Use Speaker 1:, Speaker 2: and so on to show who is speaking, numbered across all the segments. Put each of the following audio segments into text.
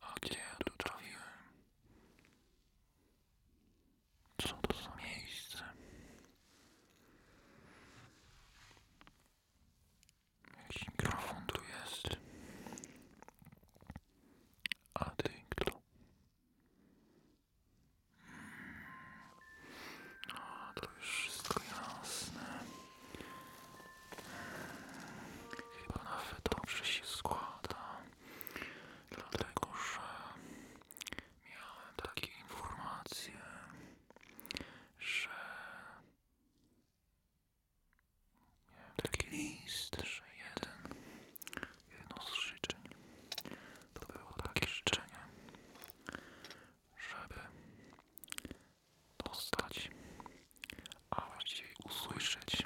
Speaker 1: A gdzie ja tu trafiłem? Co to za miejsce? Jakiś mikrofon tu jest. A ty No, to już wszystko jasne. Chyba nawet dobrze się składa. Dlatego, że miałem takie informacje że miałem taki list, że jeden, jedno z życzeń to było takie życzenie, żeby dostać, a właściwie usłyszeć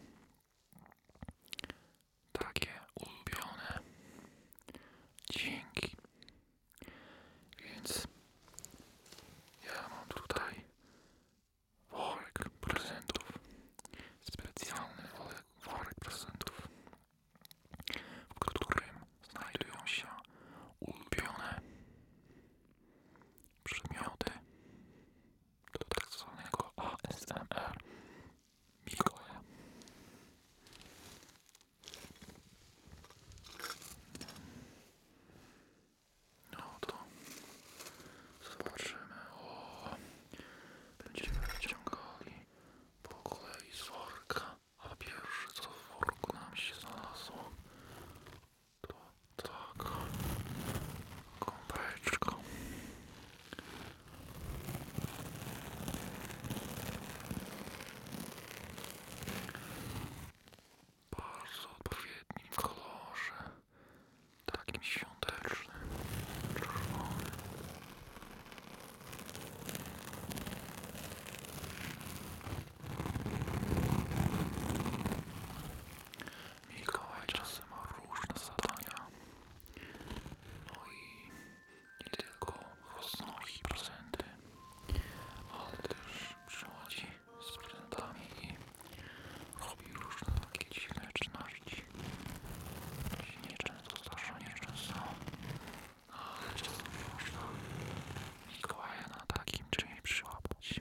Speaker 1: takie ulubione dźwięki więc ja mam tutaj worek prezentów. Specjalny worek prezentów, w którym znajdują się ulubione przedmioty do tak zwanego ASMR Mikołaja. Oto, no to zobaczymy. O, będziemy wyciągali po kolei z worka. A pierwsze co w worku nam się znalazło, to taka kąpeczka bardzo odpowiednim kolorze, takim świątecznym, czerwonym. Mikołaj czasem ma różne zadania. No i nie tylko rosną ich procenty, ale też przychodzi z prezentami i robi różne takie dziwne czynności. To się nieczęsto zdarza, nieczęsto, ale czasem można Mikołaja na takim czymś przyłapać.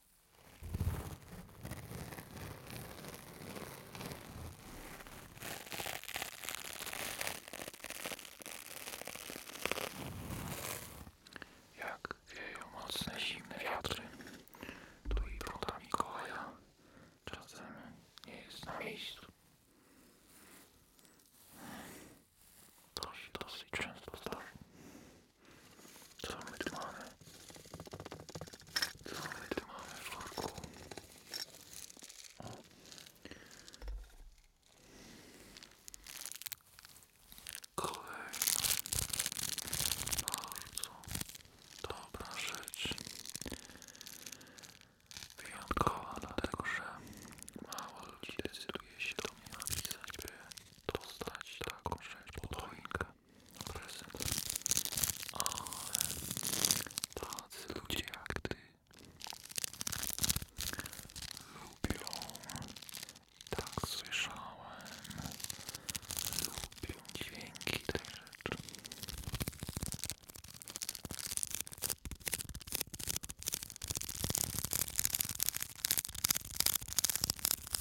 Speaker 1: Jak wieją mocne, zimne wiatry, tu i woda czasem jest na miejscu. dosyć często co my tu mamy? Co my tu mamy w worku? Kolejna bardzo dobra rzecz. Wyjątkowa dlatego, że mało ludzi decyduje się do mnie napisać, by dostać taką rzecz pod choinkę na prezent. tacy ludzie jak ty tak słyszałem, lubią dźwięki tej rzeczy.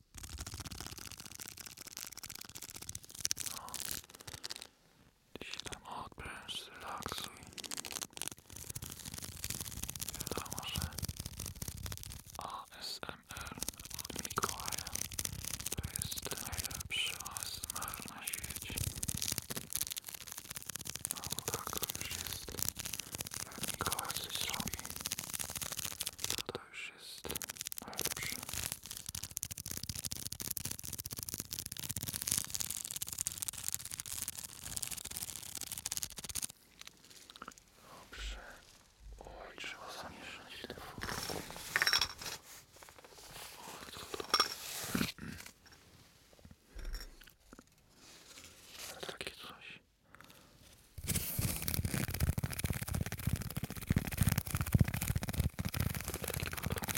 Speaker 1: No. Dziś tam odpręż, relaksuj. Wiadomo, ASMR od Mikołaja to jest najlepszy ASMR na świecie. No tak to już jest. Jak Mikołaj coś robi, to to już jest lepsze. Dobrze. Oj, trzeba zamieszać te furtki. O, co to? Takie coś.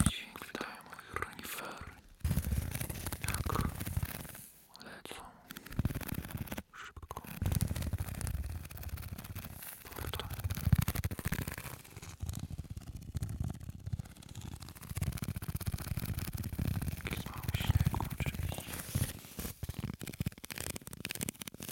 Speaker 1: Dźwięk wydają moich renifery, jak lecą szybko portal. Jakiś mały śnieg oczywiście.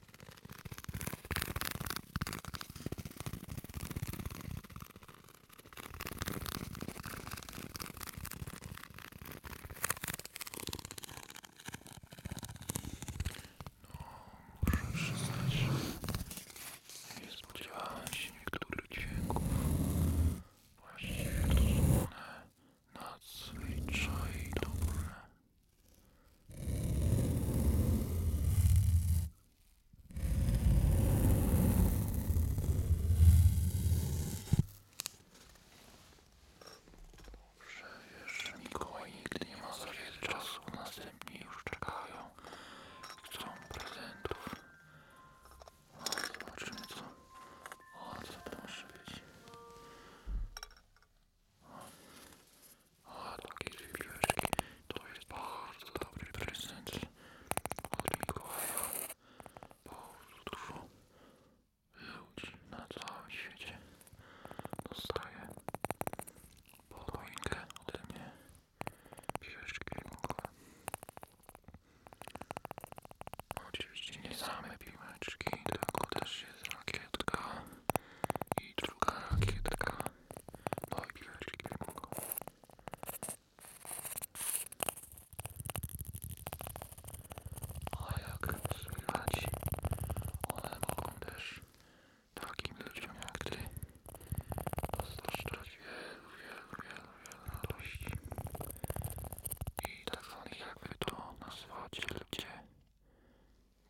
Speaker 1: No, muszę przyznać, że nie spodziewałem się niektórych dźwięków. Właściwie to są one nadzwyczaj dobre. Dobrze, jeszcze Mikołaj nigdy nie ma za wiele czasu, następni już czekają, chcą prezentów. No, zobaczymy co. O, co to może być? A takie dwie piłeczki to jest bardzo dobry prezent od Mikołaja. Bardzo dużo ludzi na całym świecie dostaje podwójkę ode mnie piłeczki Mikołaja. Oczywiście nie same piłeczki, tylko też jest rakietka i druga rakietka. No i piweczki mogą. A jak słychać, one mogą też takim ludziom jak ty dostarczać wielu, wielu, wielu, radości. I tak zwanych, jak wy to nazwacie ludzie,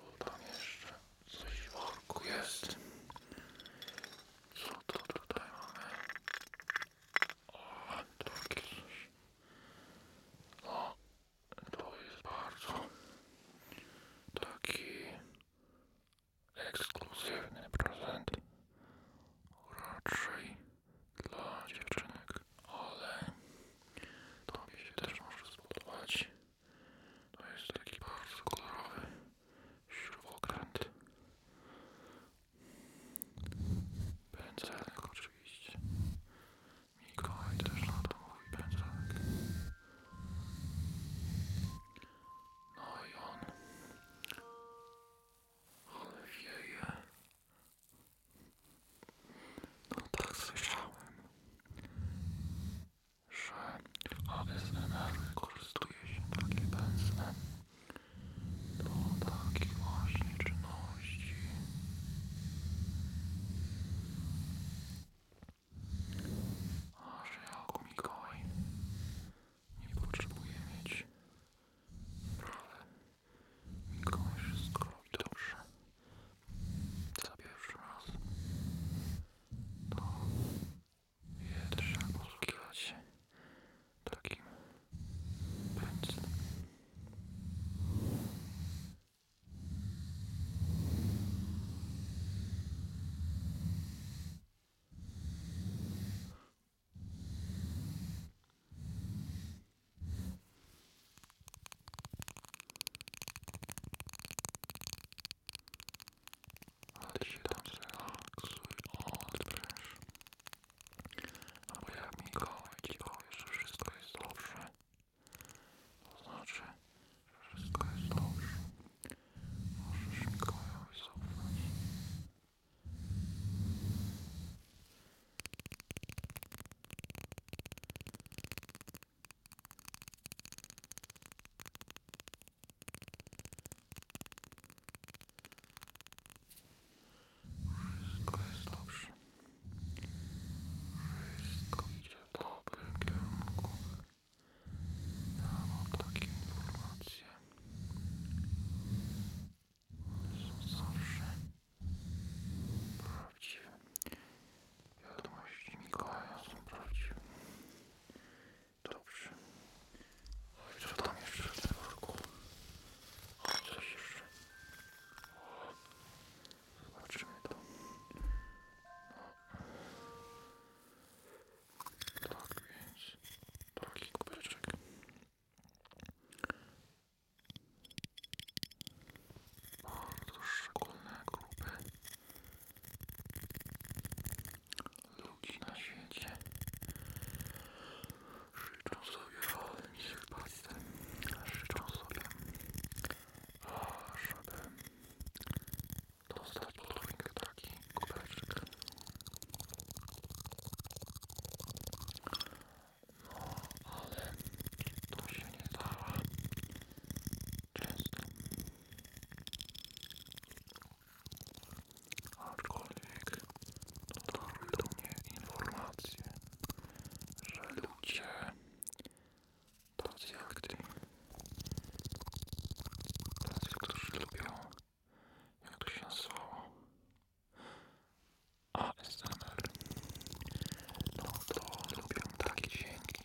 Speaker 1: Bo tam jeszcze coś w worku jest. Co to tutaj mamy? O, takie coś. No, to jest bardzo taki ekskluzywny prezent. Raczej dla dziewczynek, ale to mi się też może spodobać. To jest taki bardzo kolorowy śrubokręt. Pędzelek oczywiście. Mikołaj też na to mówi pędzelek. No i on. Ale wieje. No tak słyszałem że ASMR korzystuje się takim pędzlem do takich właśnie czynności. A że jako nie potrzebuje mieć prawy. Mikołaj wszystko robi dobrze. Za pierwszy raz no, je trzeba posługiwać się takim pędzlem ale się tam zrelaksuj, odpręż. A bo jak Mikołaj ci powie, że wszystko jest dobrze, to znaczy, że wszystko jest dobrze. Możesz Mikołajowi zaufać. Wszystko jest dobrze. Wszystko idzie w dobrym kierunku. Ja mam takie informacje. Są zawsze prawdziwe. Wiadomości Mikołaja są prawdziwe. Dobrze. Oj, co tam jeszcze w tym worku? Oj, coś jeszcze. Zobaczymy to. No. Tak więc, taki kubeczek. Bardzo szczególne grupy Ludzi na świecie życzą sobie wolni chłopcy, życzą sobie, żeby dostać pod rękę taki kubeczek. No, ale to się nie dało. Aczkolwiek dotarły do mnie informacje, że ludzie tacy jak ty, tacy, którzy lubią, jak to się nazywało, ASMR, no to lubią takie dźwięki,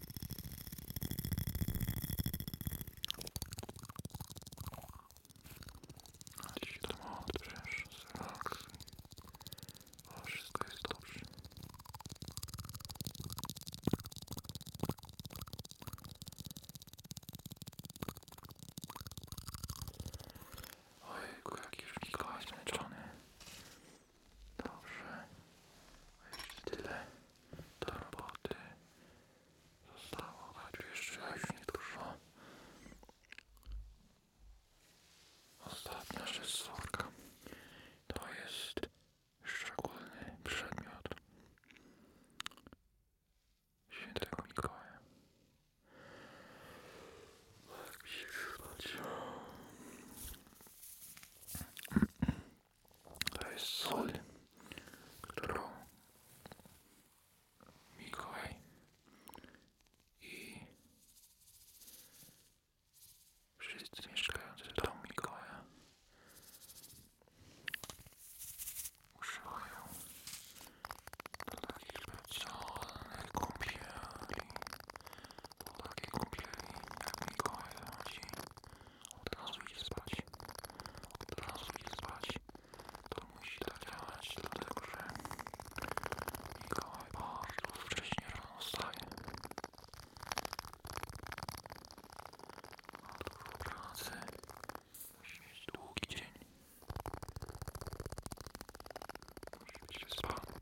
Speaker 1: A dziś to ma odbierz, zrelaksuj. O, wszystko jest dobrze. Ojku, jaki już Mikołaj zmęczony. Dobrze. Jeszcze tyle do roboty zostało, chodzi jeszcze dużo. Ostatnia szesórka to jest szczególny przedmiot świętego Mikołaja. Tak mi się przypać. To jest sól, którą Mikołaj i wszyscy mieszkający w domu Mikołaja używają dla takich specjalnych kąpieli. Po takiej kąpieli, jak Mikołaj zachodzi, od razu idzie spać. Od razu idzie spać. To musi tak działać, dlatego że Mikołaj bardzo wcześnie rano staje. Ma dużo pracy. Musi mieć długi dzień. Musi być wyspany.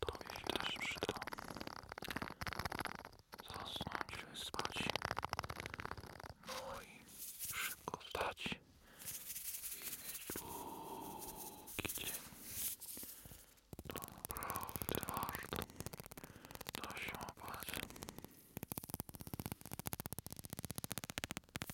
Speaker 1: Tobie się też przyda. Zasnąć, wyspać. No i szybko I mieć długi dzień. To naprawdę warto. To się opłaca.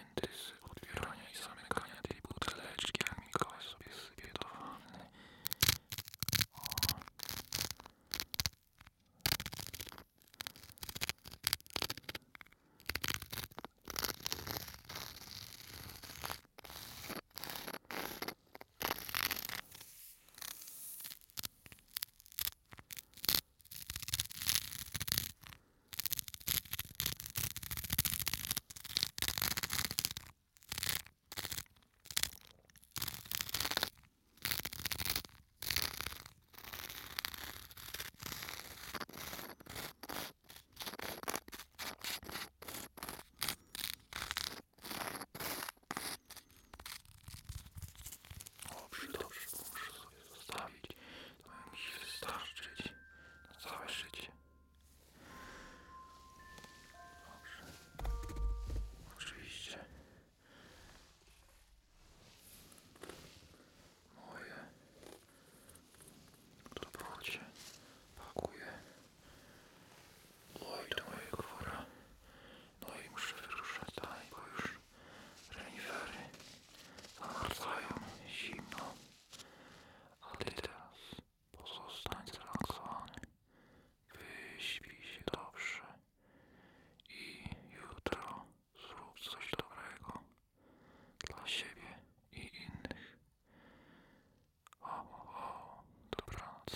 Speaker 1: momenty z otwierania i zamykania tej buteleczki, jak Mikołaj sobie sypie do wanny. O. Dobrze, dobrze, muszę sobie zostawić. To mi wystarczyć na całe życie. Oczywiście. Moje. Dobrocie. Pakuję. Oj, do mojego wora. No i muszę wyruszać dalej, bo już renifery zamarzają zimno. Ale ty teraz pozostań zrelaksowany. Wyśpij się dobrze. I jutro zrób coś dobrego dla siebie i innych. O, o, o, dobranoc.